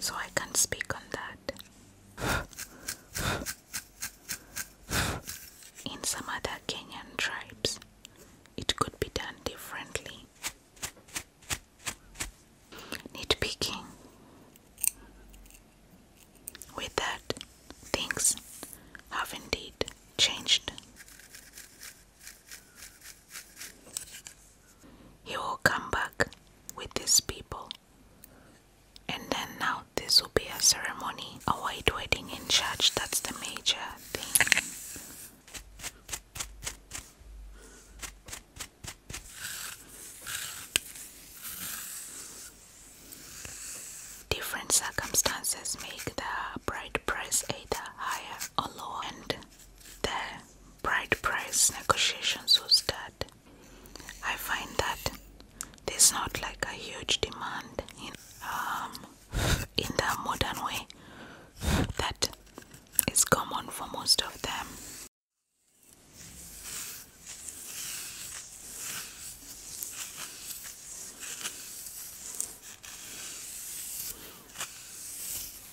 So I can't speak on that. In some other Kenyan tribes, it could be done differently. Nitpicking. With that, things have indeed changed. He will come back with his people. And then now this will be a ceremony, a white wedding in church. That's the major thing. Different circumstances make the bride price either higher or lower, and the bride price negotiations will start. I find that there's not like a huge demand in um, in the modern way that is common for most of them.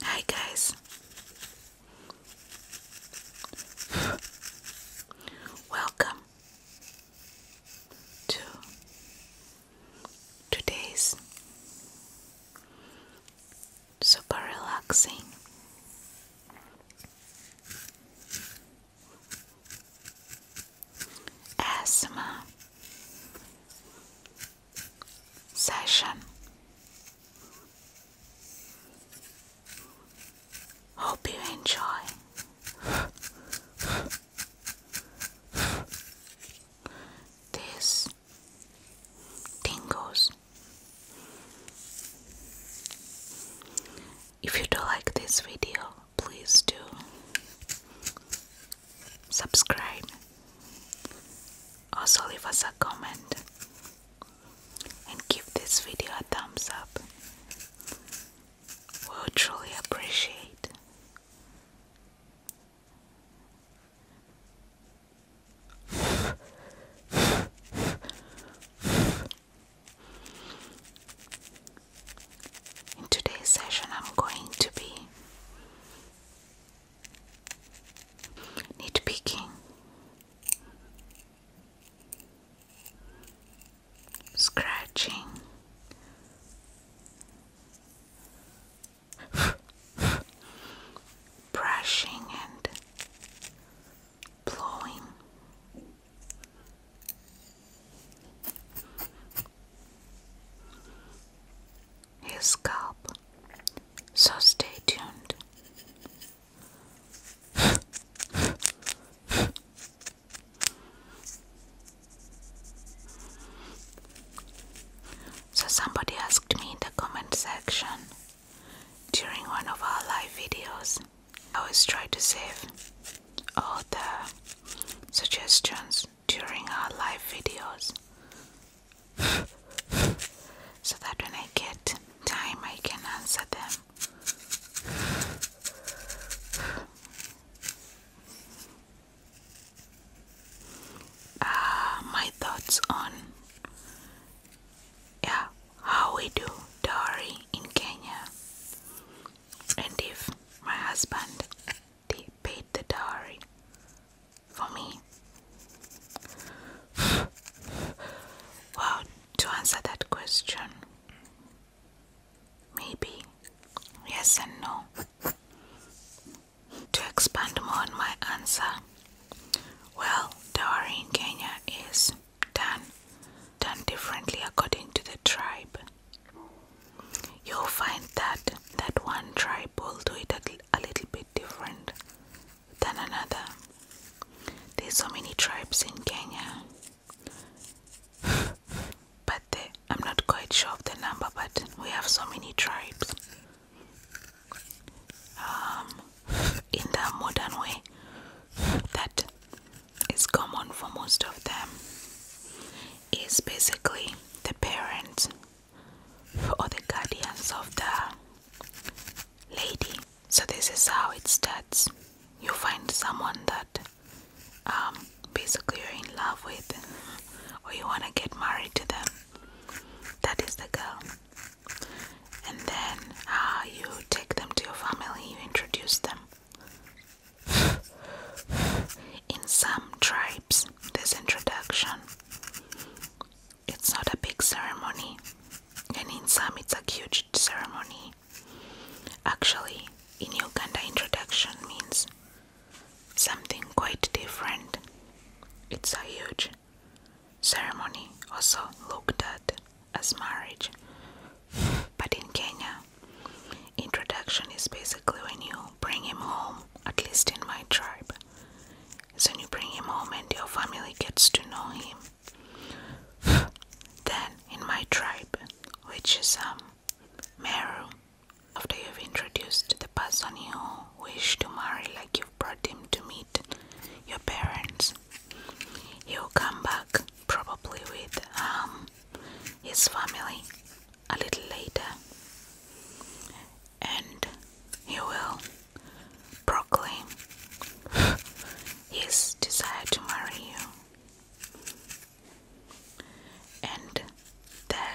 Hi guys. Welcome to Today's super relaxing. Asthma session. Hope you enjoy. this tingles. If you do like this video, please do subscribe. Also, leave us a comment and give this video a thumbs up. We'll truly appreciate in today's session, I'm going to be nitpicking, scratching, brushing and blowing. His scalp, so stay tuned. So, somebody asked me in the comment section during one of our live videos. I always try to save all the suggestions during our live videos so that when I get time, I can answer them uh, my thoughts on yeah how we do dowry in Kenya and if my husband they paid the dowry for me well to answer that question maybe yes and no to expand more on my answer, well, dowry in Kenya is done done differently according to the tribe. You'll find that that one tribe will do it a little bit different than another. There's so many tribes in Kenya but I'm not quite sure of the number, but we have so many tribes. Um, in the modern way, that is common for most of them is basically the parents or the guardians of the lady. So, this is how it starts. You find someone that um, basically you're in love with or you want to get married to them. That is the girl. And then uh, you take them to your family, you introduce them. In some tribes, this introduction it's not a big ceremony, and in some it's a huge ceremony. Actually, in Uganda, introduction means something quite different. It's a huge ceremony, also looked at as marriage. But in Kenya, introduction is basically when you bring him home, at least in my tribe. So you bring him home and your family gets to know him. then in my tribe, which is um Meru, after you've introduced the person you wish to marry, like you've brought him to meet your parents, he'll come back probably with um, his family a little later and he will proclaim his desire to marry you and the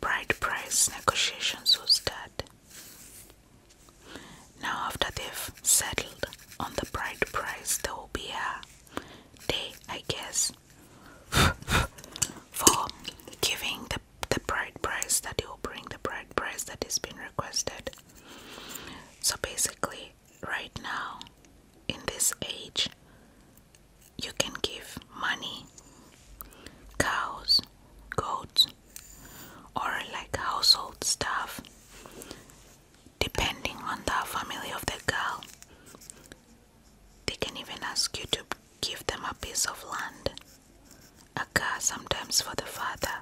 bride price negotiations will start. Now, after they've settled on the bride price, there will be a day, I guess, for giving the, the bride price that you'll bring the bride price that is being requested. So, basically, right now, in this age, you can give money, cows, goats, or like household stuff, depending on the family of the girl. They can even ask you to give them a piece of land, a car sometimes for the father.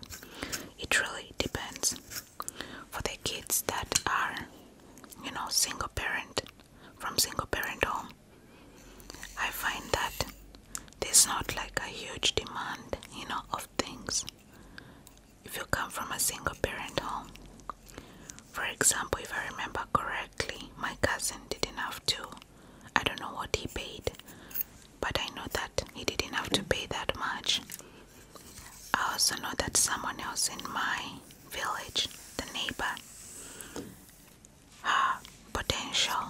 It really depends. For the kids that are, you know, single parent, from single parent home i find that there's not like a huge demand you know of things if you come from a single parent home for example if i remember correctly my cousin didn't have to i don't know what he paid but i know that he didn't have to pay that much i also know that someone else in my village, the neighbor, her potential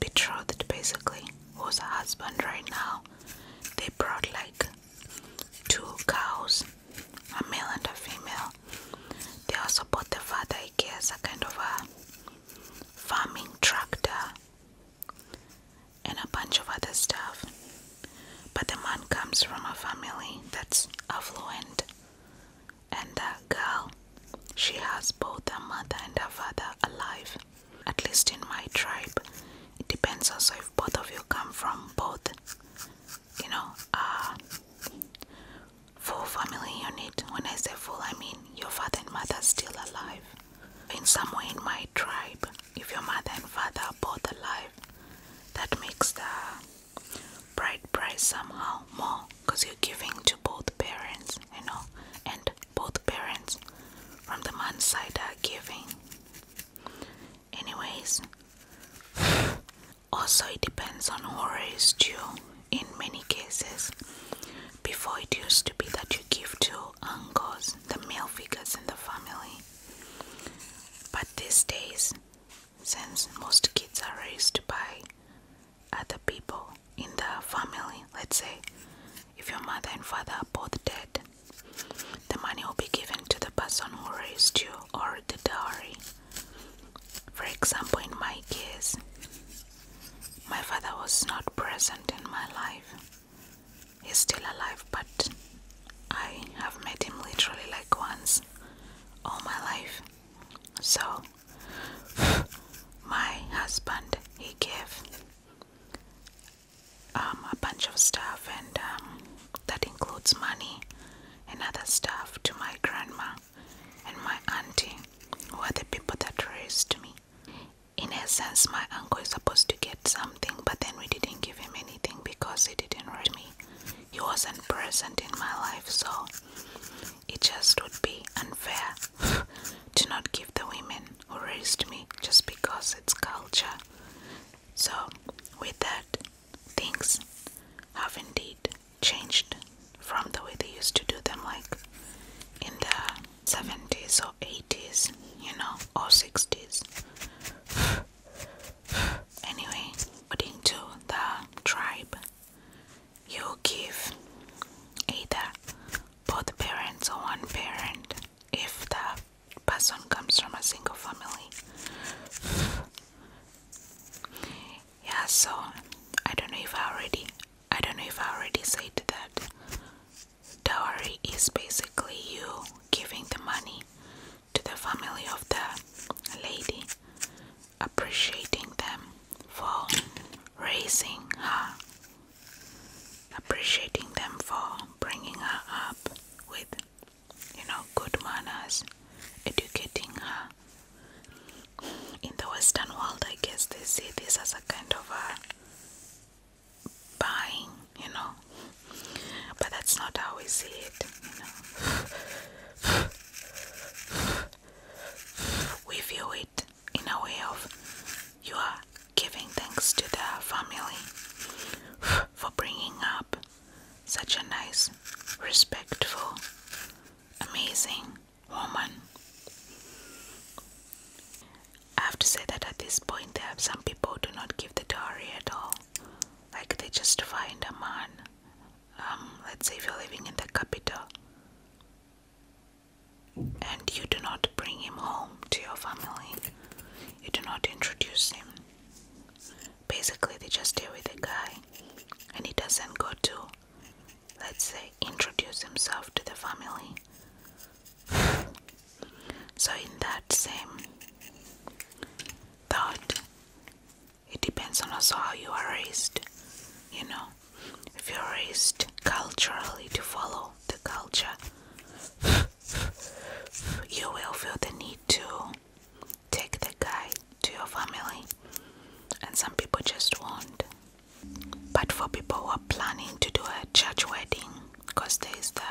betrothed basically was a husband right now. They brought like two cows, a male and a female. They also bought the father, I guess, a kind of a farming tractor and a bunch of other stuff. But the man comes from a family that's affluent. And that girl, she has both her mother and her father alive. At least in my tribe, it depends also if both of you come from both, you know, full family unit. When I say full, I mean your father and mother are still alive. In some way, in my tribe, if your mother and father are both alive, that makes the bride price somehow more because you're giving to both parents, you know, and both parents from the man's side are giving. Anyways, also it depends on who raised you in many cases. Before it used to be that you give to uncles, the male figures in the family. But these days, since most kids are raised by other people in the family. Let's say if your mother and father are both dead, the money will be given to the person who raised you or the dowry. For example, in my case, my father was not present in my life. He's still alive, but I have met him literally like once all my life. So my husband he gave um, a bunch of stuff and um, that includes money and other stuff to my grandma and my auntie who are the people that raised me. In essence, my uncle is supposed to get something, but then we didn't give him anything because he didn't raise me he wasn't present in my life, so it just would be unfair to not give the women who raised me just because it's culture. So, with that, things have indeed changed from the way they used to do them, like in the 70s or 80s, you know, or 60s. anyway, according to the tribe, you give either both parents or one parent if the person comes from a single family. Yeah, so I don't know if I already I don't know if I already said that dowry is basically you giving the money to the family of the lady, appreciating them for raising her, appreciating them for bringing her up with, you know, good manners, educating her. In the Western world, I guess they see this as a kind of a buying, you know, but that's not how we see it, We view it in a way of you are giving thanks to the family for bringing up such a nice, respectful, amazing woman. I have to say that at this point, some people do not give the dowry at all like they just find a man um, let's say if you're living in the capital and you do not bring him home to your family you do not introduce him basically they just stay with the guy and he doesn't go to let's say introduce himself to the family so in that same that it depends on also how you are raised. You know, if you're raised culturally to follow the culture, you will feel the need to take the guide to your family, and some people just won't. But for people who are planning to do a church wedding, because there's the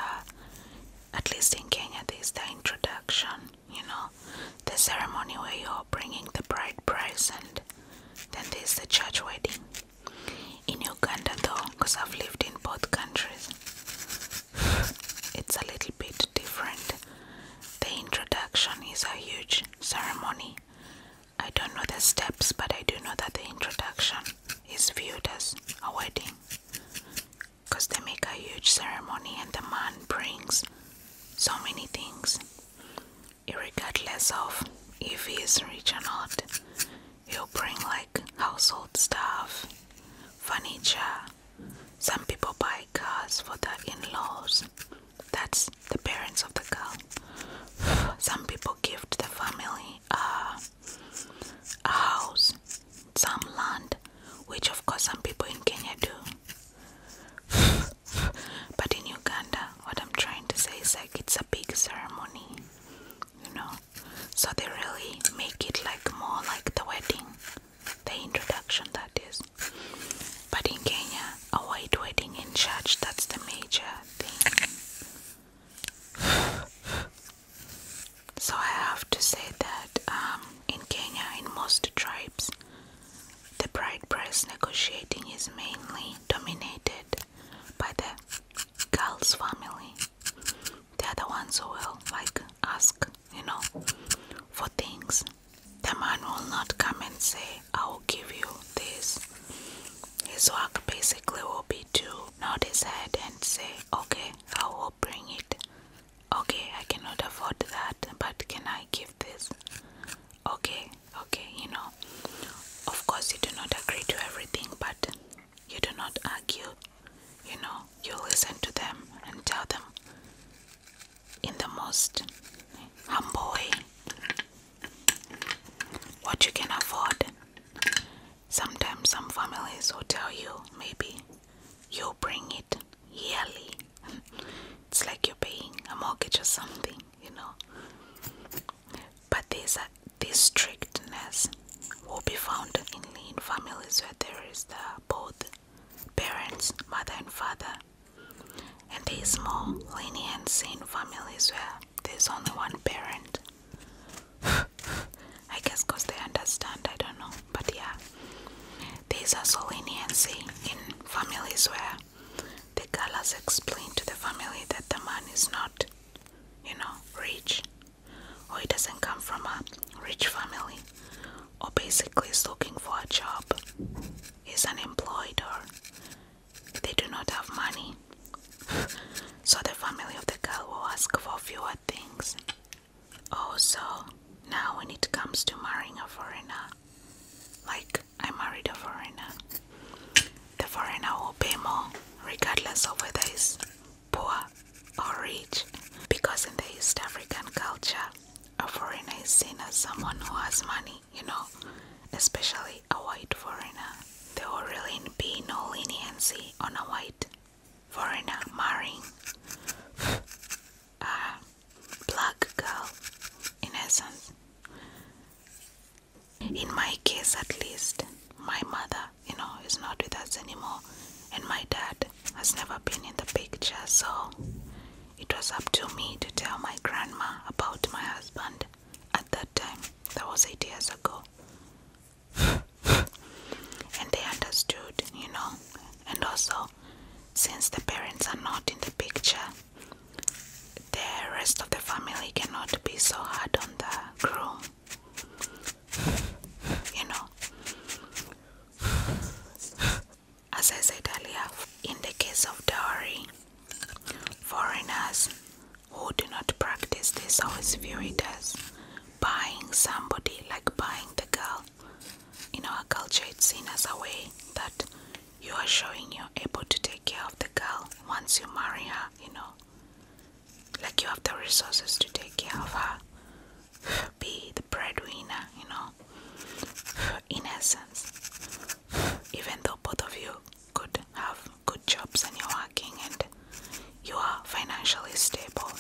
at least in Kenya, there's the introduction, you know, the ceremony where you're bringing the bride present, then there's the church wedding. In Uganda, though, because I've lived in both countries, it's a little bit different. The introduction is a huge ceremony. I don't know the steps, but I do know that the introduction is viewed as a wedding because they make a huge ceremony and the man brings so many things. Regardless of if he's rich or not, he'll bring like household stuff, furniture. Some people buy cars for the in laws, that's the parents of the girl. Some people give the family a house some land, which of course some people in Kenya do. but in Uganda, what I'm trying to say is like it's a big ceremony, you know. So they really make it like more like the wedding, the introduction that is. But in Kenya, a white wedding in church, that's the major thing. So I have to say that um, in Kenya, in most tribes, the bride price negotiating is mainly dominated by the girl's family. They are the ones who will like ask, you know, for things. The man will not come and say, I will give you this. His work basically will be to nod his head and say, Okay, I will bring it. Okay, I cannot afford that, but can I give this? Okay, okay, you know. Of course, you do not agree to everything, but you do not argue. You know, you listen to them and tell them in the most humble way what you can afford. Sometimes some families will tell you maybe you bring it yearly. It's like you're paying a mortgage or something, you know. But there's a, this strictness will be found in, in families where there is the both parents, mother and father. And there is more leniency in families where there's only one parent. I guess because they understand, I don't know. But yeah, these are so leniency in families where the girl explain to the family that the man is not, you know, rich or he doesn't come from a rich family or basically is looking for a job, is unemployed or they do not have money. so the family of the girl will ask for fewer things. Also, now when it comes to marrying a foreigner, like I married a foreigner, the foreigner will pay more regardless of whether he's poor or rich, because in the East African culture, a foreigner is seen as someone who has money, you know, especially a white foreigner. There will really be no leniency on a white foreigner marrying a uh, black girl, in In my case, at least, my mother, you know, is not with us anymore, and my dad has never been in the picture, so it was up to me to tell my grandma about my husband at that time. That was eight years ago and they understood, you know. And also, since the parents are not in the picture, the rest of the family cannot be so hard on the groom, you know. As I said earlier, in the case of Dari, foreigners who do not practice this always view it as buying somebody, like buying the girl. you know, our culture, it's seen as a way that you are showing you're able to take care of the girl once you marry her, you know. Like you have the resources to take care of her, be the breadwinner, you know. In essence, even though both of you could have good jobs and you're working and you are financially stable.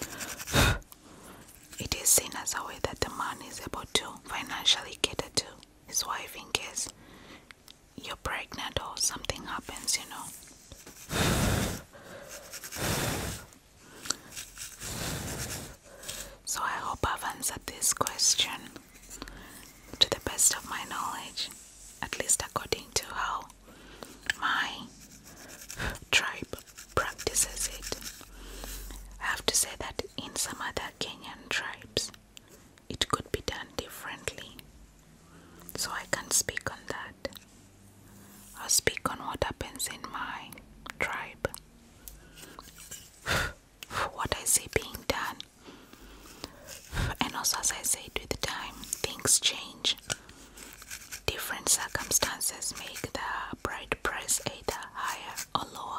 it is seen as a way that the man is able to financially cater to his wife in case you're pregnant or something happens, you know. So I hope I've answered this question to the best of my knowledge, at least according to how my tribe practices it. I have to say that in some other Kenyan tribes, it could be done differently. So I can't speak on that. I'll speak on what happens in my tribe. what I see being done. And also, as I said, with time, things change. Different circumstances make the bride price either higher or lower.